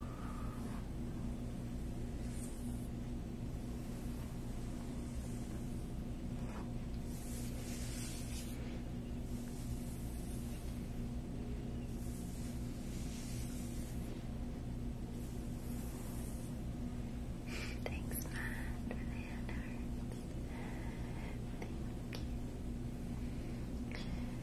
Thanks, Matt, for Thank you.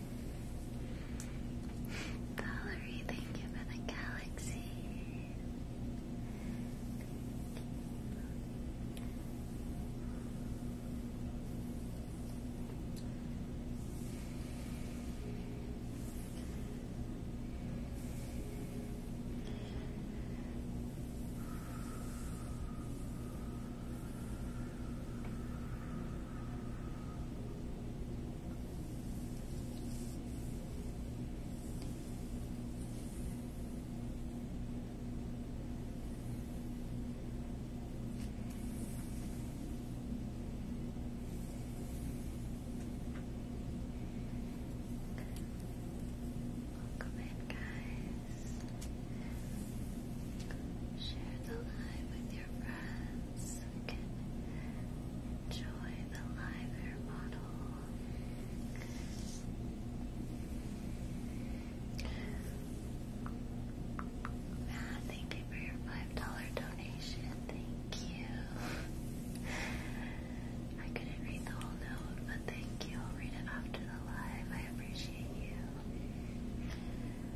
Valerie, thank you for the galaxy. Welcome in, guys. Share the live with enjoy the live air model. Matt, thank you for your $5 donation. Thank you. I couldn't read the whole note, but thank you. I'll read it after the live. I appreciate you.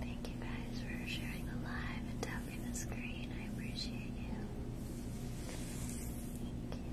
Thank you guys for sharing the live and tapping the screen. I appreciate you. Thank you.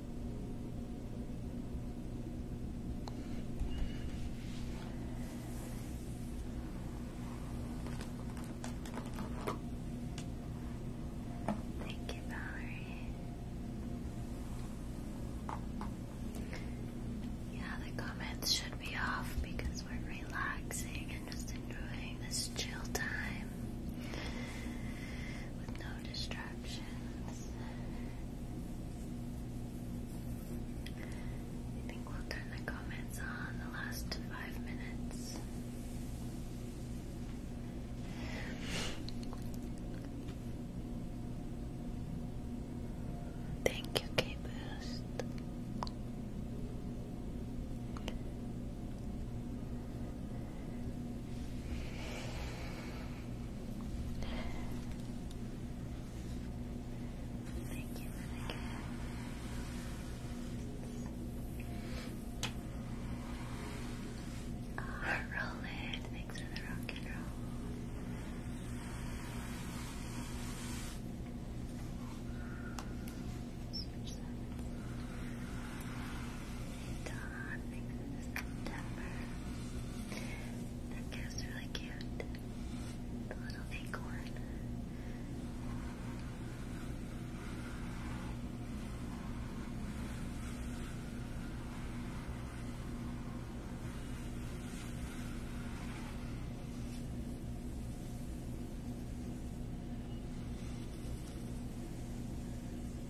Thank you, Valerie. Yeah, the comments should be off because we're relaxing and just enjoying this chill time distractions. I think we'll turn the comments on the last five minutes. Thank you, K Boost. Thank you for the thanks for the rock and roll. Dawn September. That cat's really cute. The little acorn.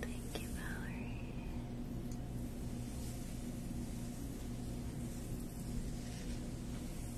Thank you, Valerie.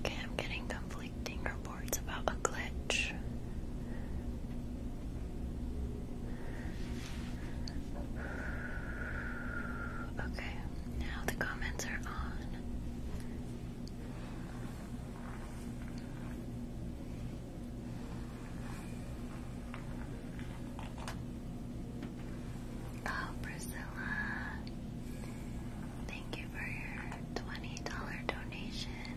Okay, I'm getting conflicting reports. It's about a glitch. Okay, now the comments are on. Oh, Priscilla, thank you for your $20 donation.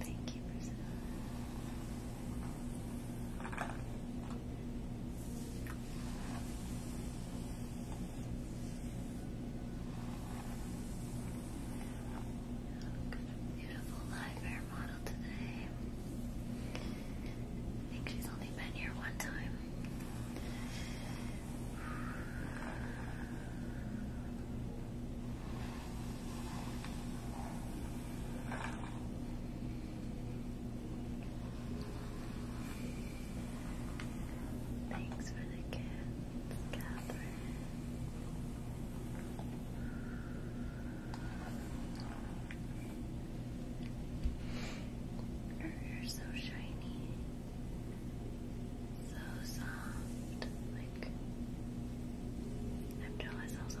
Thank you, beautiful live hair model today. I think she's only been here one time. Thanks for the kids, Catherine. Your hair's so shiny, so soft, like I'm jealous how soft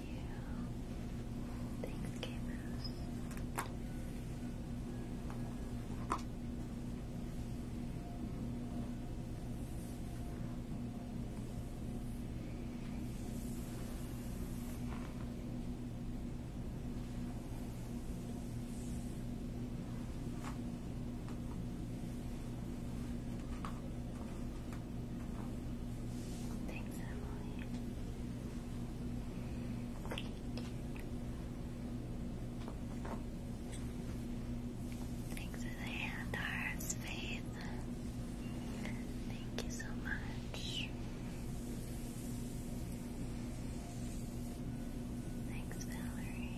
Thank you. Thanks, K Thanks, Emily. Thank you. Thanks for Faith. Thank you so much. Thanks, Valerie.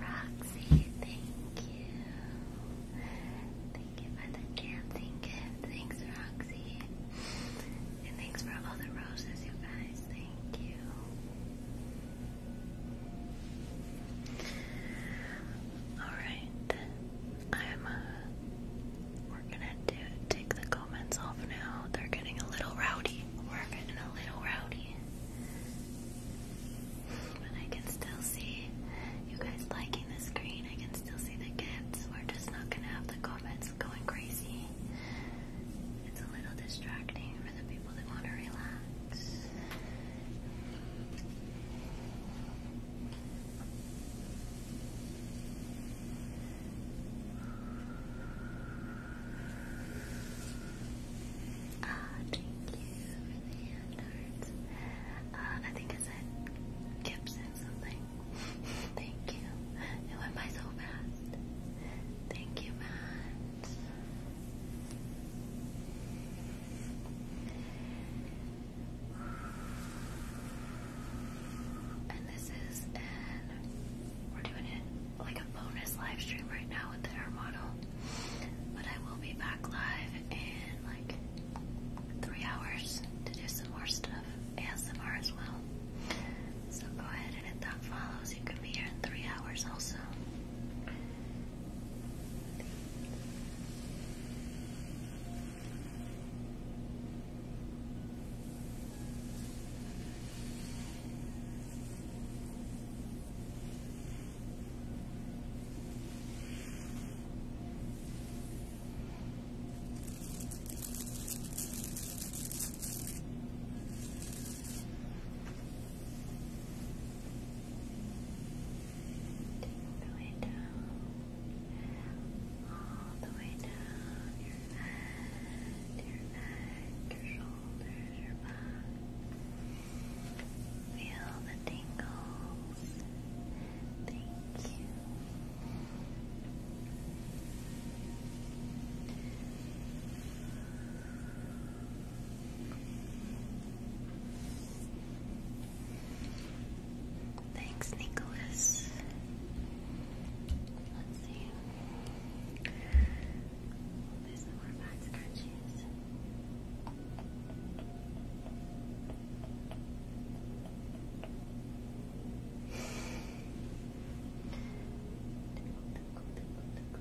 Roxy, thank you. Thank you for the dancing gift. Thanks, Roxy. And thanks for all the roses, you guys. Alright, I'm, uh, we're gonna take the comments off now. They're getting a little rowdy. We're getting a little rowdy. But I can still see you guys liking the screen. I can still see the gifts. We're just not gonna have the comments going crazy. It's a little distracting for the people that want to relax. Ah, thank you ah, I think I said Gibson something. thank you. It went by so fast. Thank you, Matt. And this is we're doing it like a bonus live stream right now with the air model. But I will be back live in like three hours to do some more stuff. ASMR as well. So go ahead and if that follows. You can be here in three hours also. Take the way down, all the way down your head, your neck, your shoulders, your back. Feel the tingles. Thank you. Thanks, Nicholas. Let's see. There's more bags in Thank you. It Down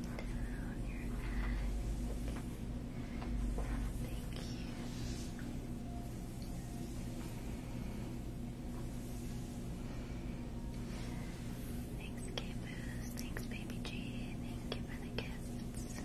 your head. Down your head. Thank you. Thanks, Caboose. Thanks, Baby G. Thank you for the gifts.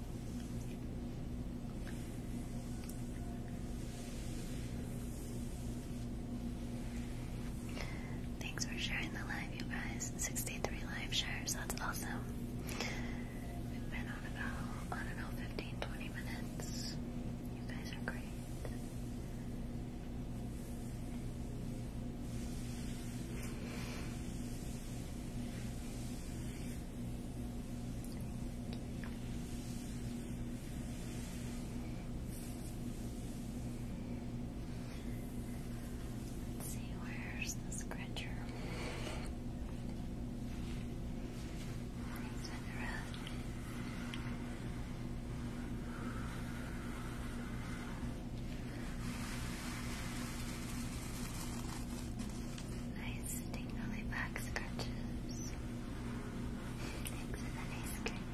Thanks for sharing the live, you guys. 63 live shares, that's awesome. We've been on about, I don't know, 15, minutes. You guys are great. Let's see, where's the scratcher? It's in the nice tingly back scratches. Thanks for the nice cream.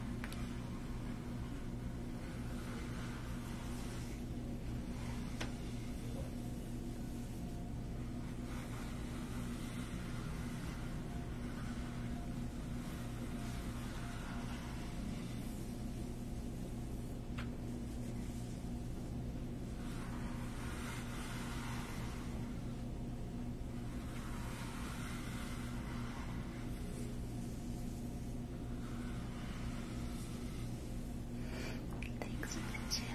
Thanks for thank you.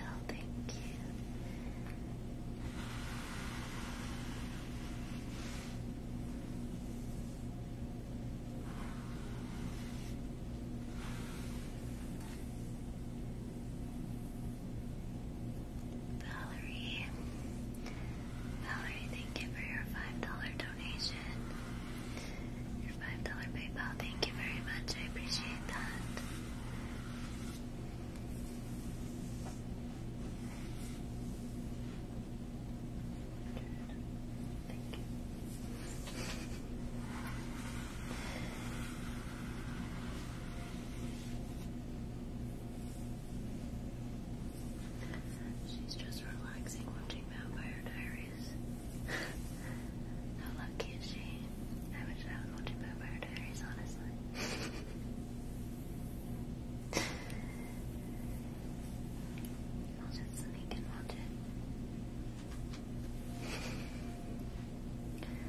Valerie. Valerie, thank you for your $5 donation. Your $5 PayPal, thank you very much. I appreciate that. Thank you. She's just relaxing watching Vampire Diaries. How lucky is she? I wish I watching Vampire Diaries, honestly. I'll just sneak and watch it.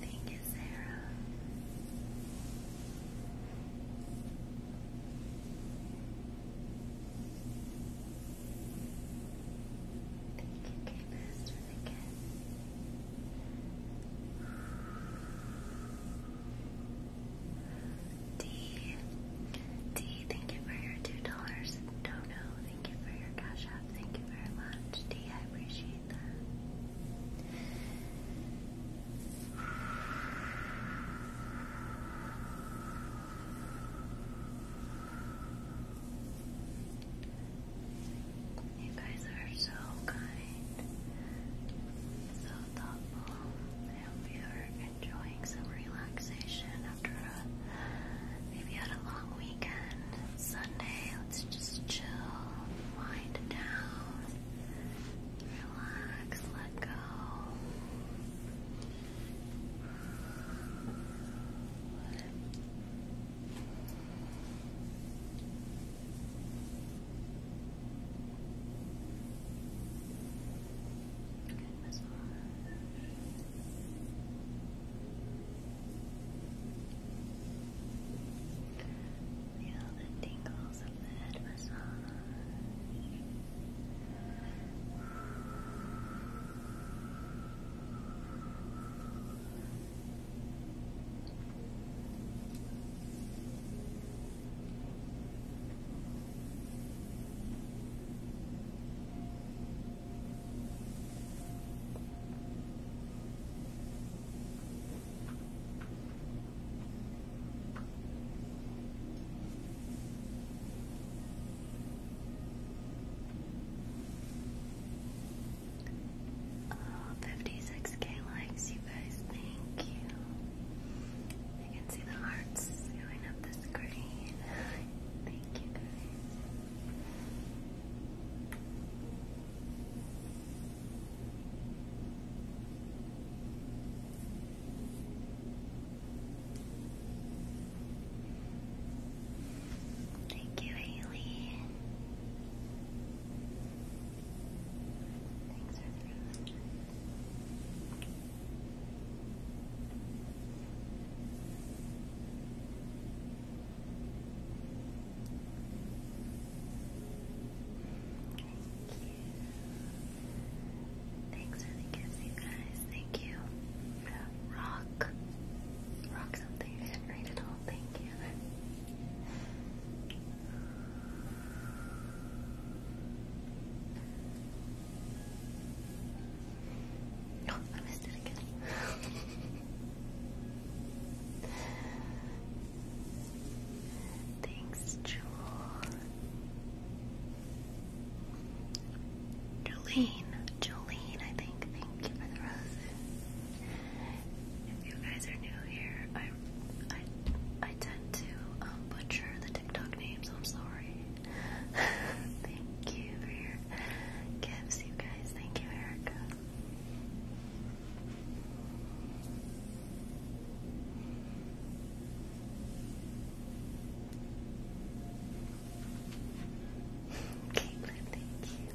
Thank you, Sarah. Thank you, K Master, again. D. D, thank you for your $2. Dono, thank you for your cash app. Thank you very much. D, I appreciate that. You guys are so kind, so thoughtful. I hope you are enjoying some relaxation after a, maybe had a long weekend. Sunday, let's just chill, wind down, relax, let go. Good massage. Feel the tingles of the head massage. Oh, 56k likes, you guys, thank you. I can see the hearts going up the screen. Thank you guys. Thank you, Haley. Thanks for the Thanks for the gifts, guys. Thank you. Rock. Rock something. I not read it all. Thank you. I missed it again. Thanks, Jewel. Jolene, Jolene, I think. Thank you for the roses. If you guys are new here, I, I, I tend to um, butcher the TikTok names. I'm sorry. Thank you for your gifts, you guys. Thank you, Erica. Caitlin, thank you.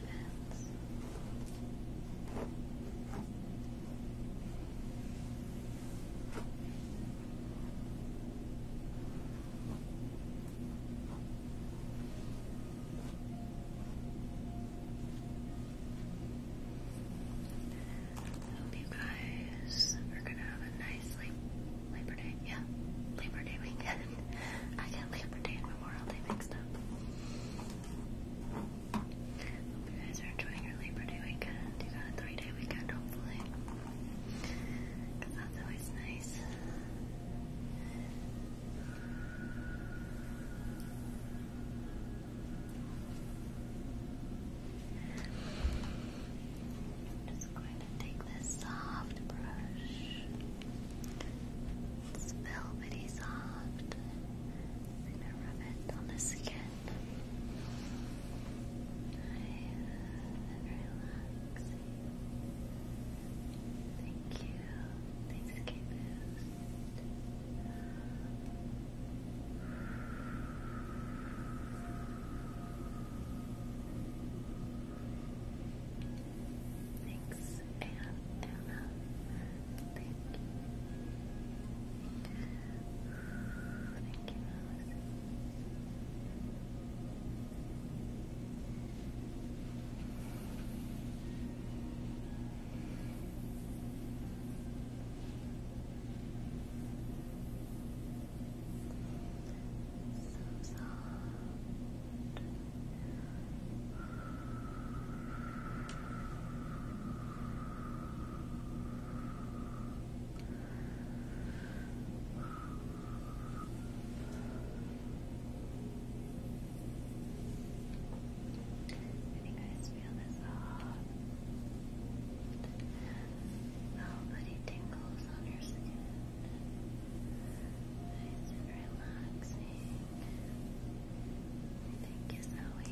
minutes. I hope you guys are gonna have a nice Labor Day, yeah, Labor Day weekend. I got Labor Day you guys are enjoying your Labor Day weekend. You got a three day weekend, hopefully. that's always nice take this soft brush. It's velvety soft. I'm gonna rub it on the skin. Nice relaxing. Thank you. Thanks, K Thanks, Anna. Anna. Thank you. Thank you, Alice. So soft. Can you guys feel this off? The whole tingles on your skin. Nice and relaxing. Thank you, Zoe. Nice.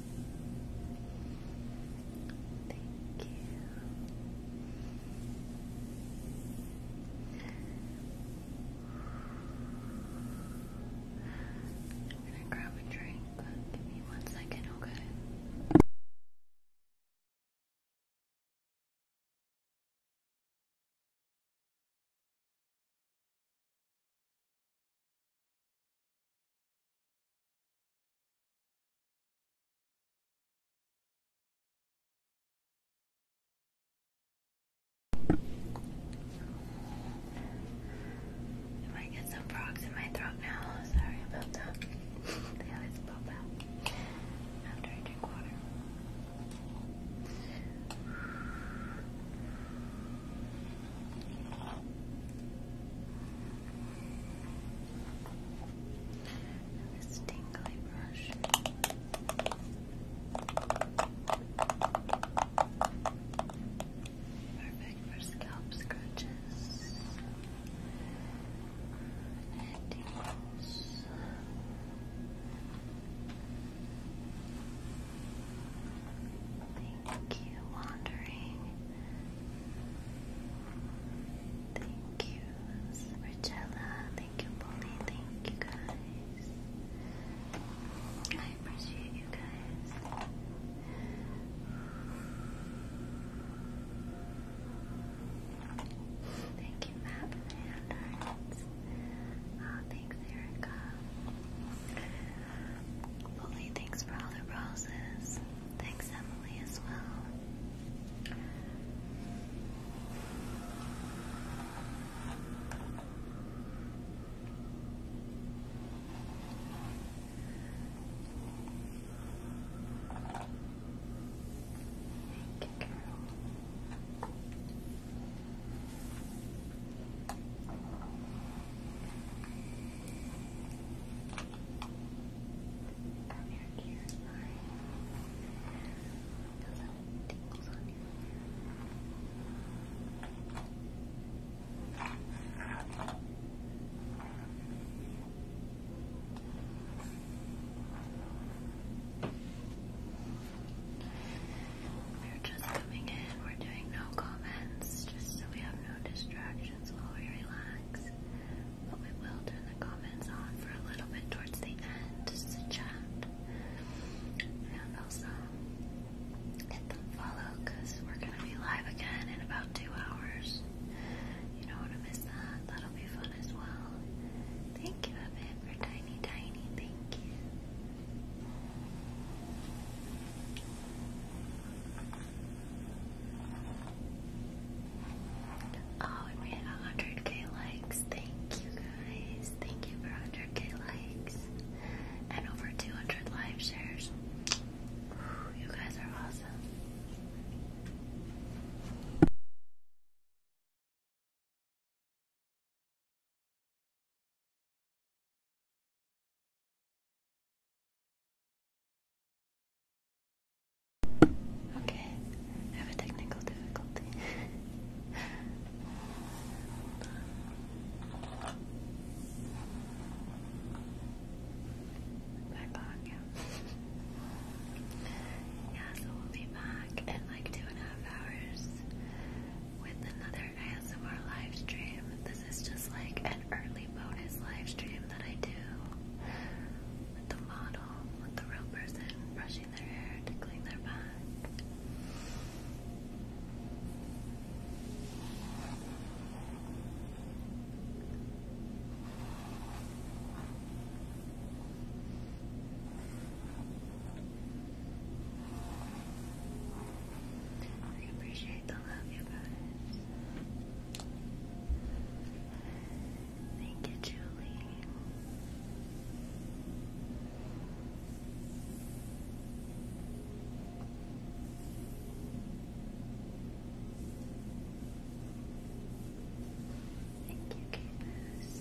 Thank you. I'm gonna grab a drink. Give me one second, okay? If I get some frogs in my throat now, sorry about that. they always pop out after I drink water. And this brush. Perfect for scalp scratches and tingles. Thank you, Wandering. Thank you, Rachella. Thank you, Polly. Thank you, guys. I appreciate you guys. Thank you, Matt, for the hand uh, thanks, Erica. Bully, thanks for all the roses. Thanks, Emily, as well. Thank you, girl. Down your We're just coming in. We're doing no comments, just so we have no distractions while we relax. But we will turn the comments on for a little bit towards the end, just to chat. And also hit the follow because we're gonna be live again in about two hours. You don't wanna miss that. That'll be fun as well. Thank you, Evan, for tiny, tiny. Thank you. Oh, we made 100k likes. Thank you guys. Thank you for 100k likes and over 200 live shares. you guys are awesome. Okay, I have a technical difficulty. Back on, yeah. so we'll be back in like two and a half hours with another ASMR live This is just like an early bonus live that I do with the model, with the real person, brushing their hair, tickling their back. I appreciate like love you guys. Thank you, Julie. Thank you, Candace.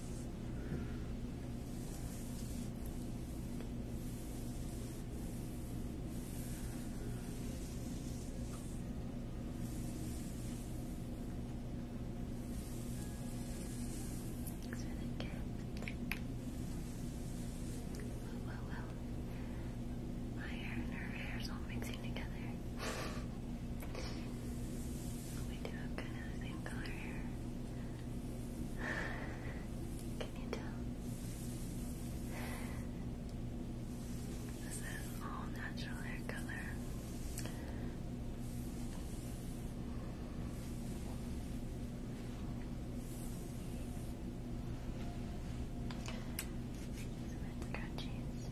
Thanks for the gift. Well, well, well. My hair and her hair's all mixing together. We do have kind of the color hair. Can you tell? This is all natural hair color. Some scrunchies.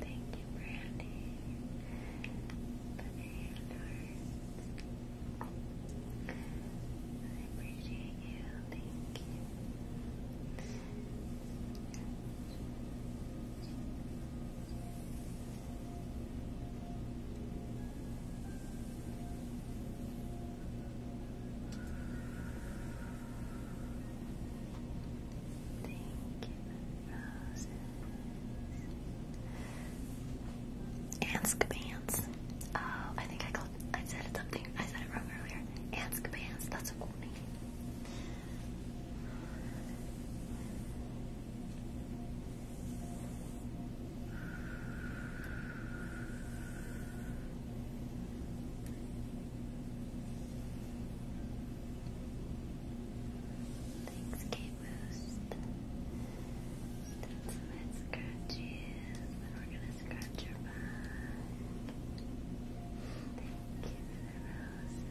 Thank you, Brandy. For the hand I appreciate you. Thank you. Thank you the roses. Oh, I think I called. I said something. I said it wrong earlier. Ansk bands. That's a cool name. Thanks, K-Boost. Done some head scratches, and we're gonna scratch your back. Thank you for the roses.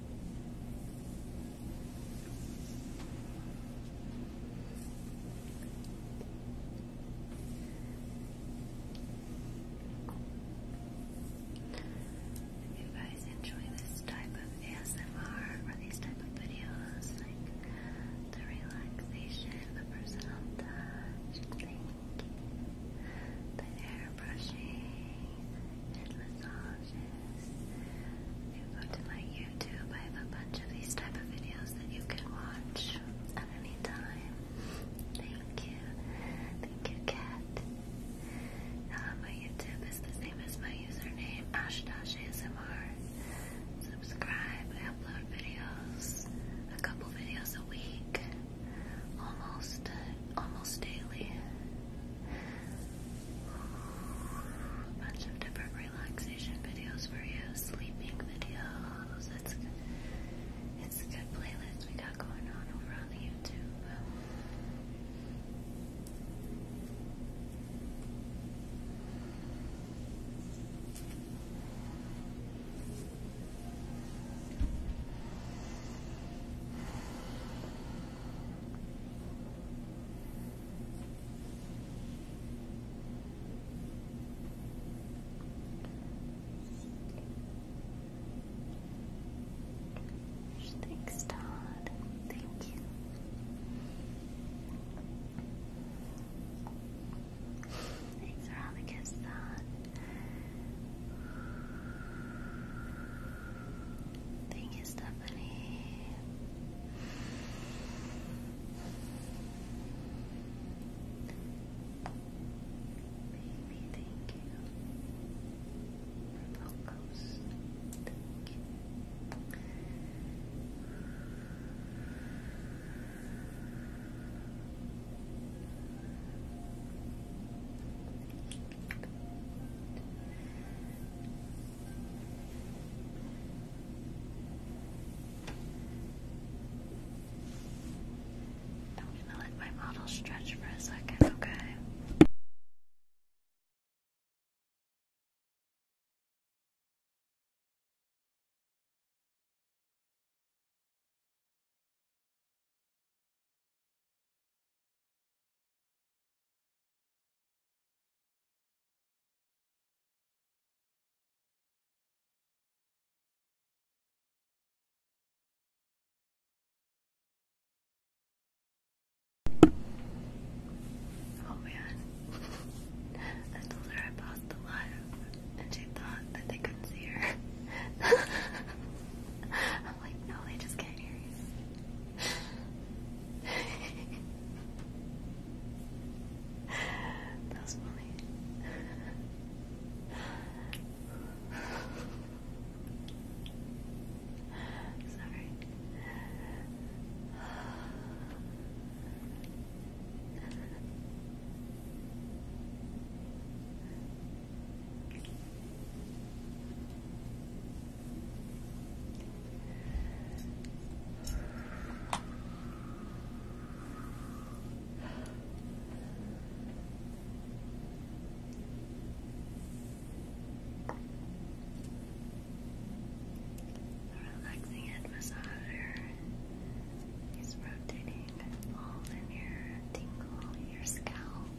If you guys enjoy this type of ASMR or these type of videos, like the relaxation, the personal thank you, the hair brushing, and massage. If you go to my YouTube, I have a bunch of these type of videos that you can watch at any time. Thank you. Thank you, Kat. Uh, my YouTube is the same as my username, Ashdash ASMR. Subscribe. upload videos, a couple videos a week, almost, uh, almost daily a bunch of different relaxation videos for you, sleeping videos. It's it's a good playlist we got going on over on the YouTube. Thanks, Todd. Thank you. Thanks for all the gifts, Todd. Thank you, Stephanie. Baby, thank you. Purple I'm gonna let my model stretch for a second, okay? Oh man. I told her I the live and she thought that they couldn't see her. i like, no, they just can't you. that was funny. Sorry. Relaxing head massager rotating all in your tingle, your scalp.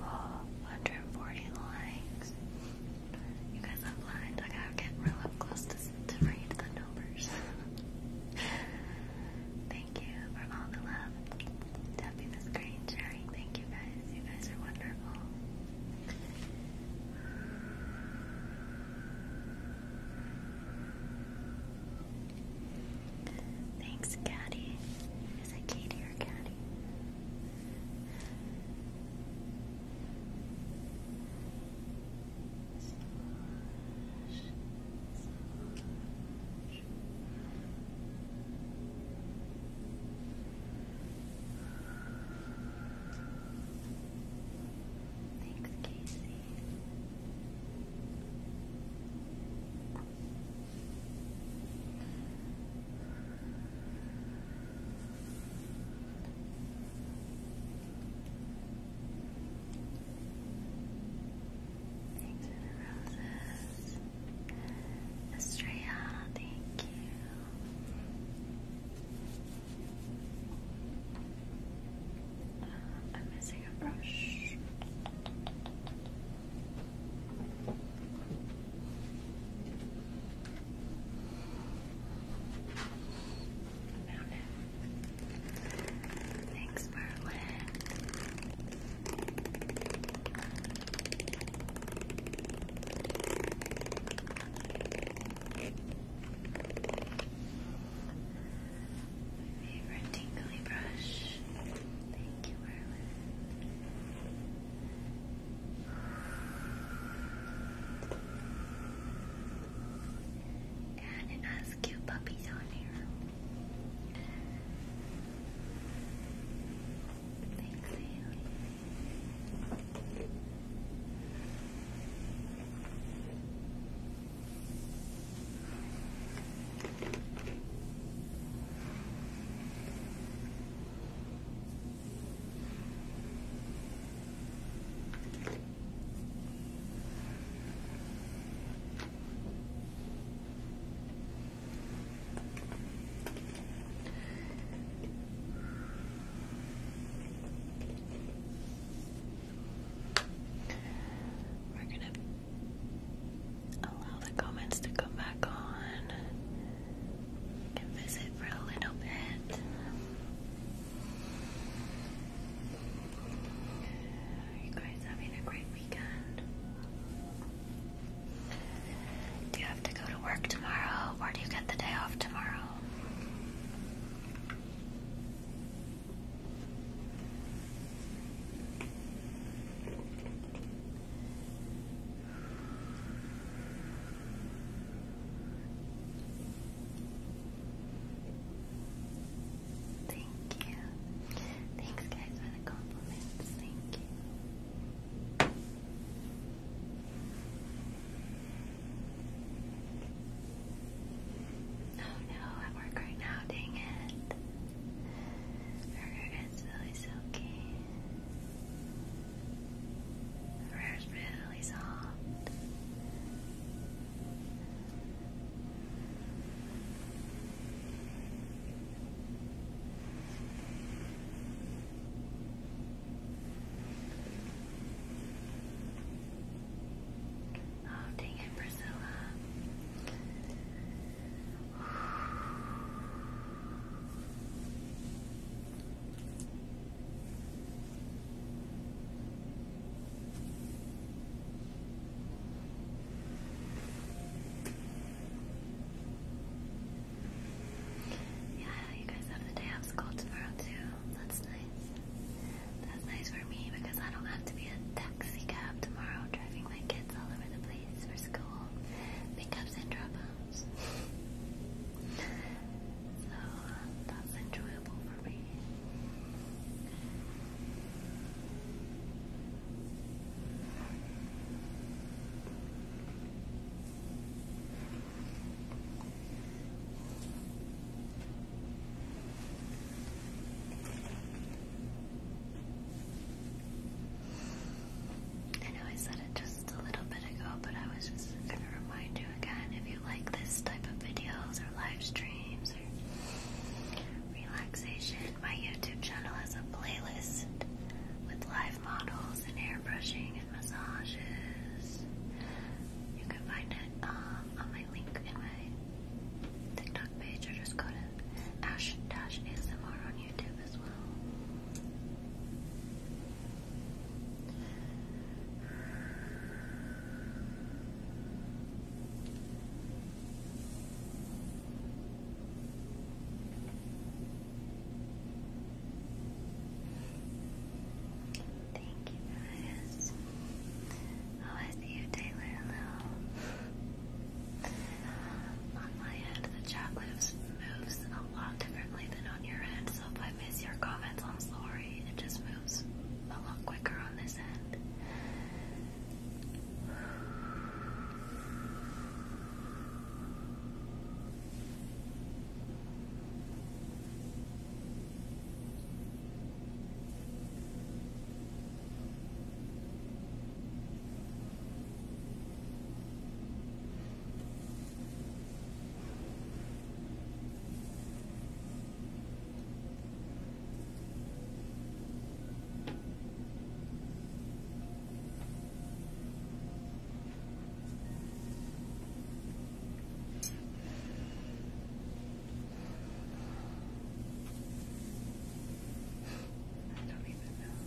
Oh, 140 likes. You guys are blind. I gotta get real up close to, to read the numbers. thank you for all the love. Tapping screen, sharing. Thank you guys. You guys are wonderful. Thanks, Caddy. Is it Katie your caddy. Massage, Thanks, Casey. Thanks for the roses. Estrella, thank you. Uh, I'm missing a brush. Thanks, Merlin. favorite tingly Thank you, Merlin. And it has cute puppies on here. Thanks, Haley. We're gonna Allow the comments to come back on. visit for a little bit. Are you guys having a great weekend? Do you have to go to work tomorrow or do you get the day off tomorrow? Thank you. Thanks, guys, for the compliments. Thank you. Oh no, I work right now, dang it. Burger is really silky. Fur is really soft. Oh, dang it, Priscilla. Yeah, you guys have the day off school tomorrow too. That's nice. That's nice for me because I don't have to be a taxi cab tomorrow driving my kids all over the place for school, pickups and dropouts. so that's enjoyable for me. I know I said it just a little bit ago, but I was just going to remind you again if you like this type of videos or live streams or relaxation, my YouTube channel has a playlist with live models and hair brushing and massages. You can find it um, on my link in my TikTok page or just go to ash-asmr on YouTube Thank you guys. How is you, Taylor? Hello. On my end, the chat lives moves a lot differently than on your end, so if I miss your comments, I'm sorry. It just moves a lot quicker on this end. I don't even know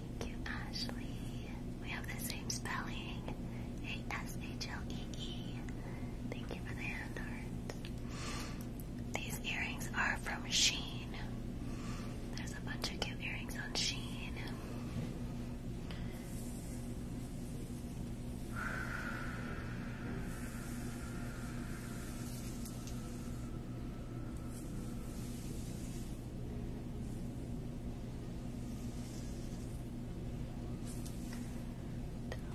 Thank you, Ashley. We have the same spelling. A-S-H-L-E-E. -E. Thank you for the hand heart. These earrings are from Sheen. There's a bunch of cute earrings on Sheen. Do a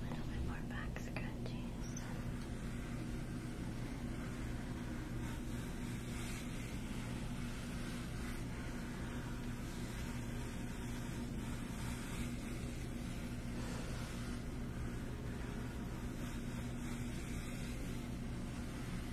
little bit more back scratches.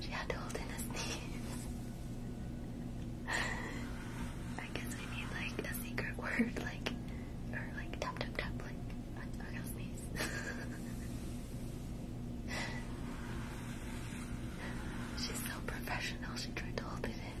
she had to hold in a sneeze. I guess we need like a secret word, like or like tap tap tap, like I, sneeze. She's so professional. She tried to hold it in.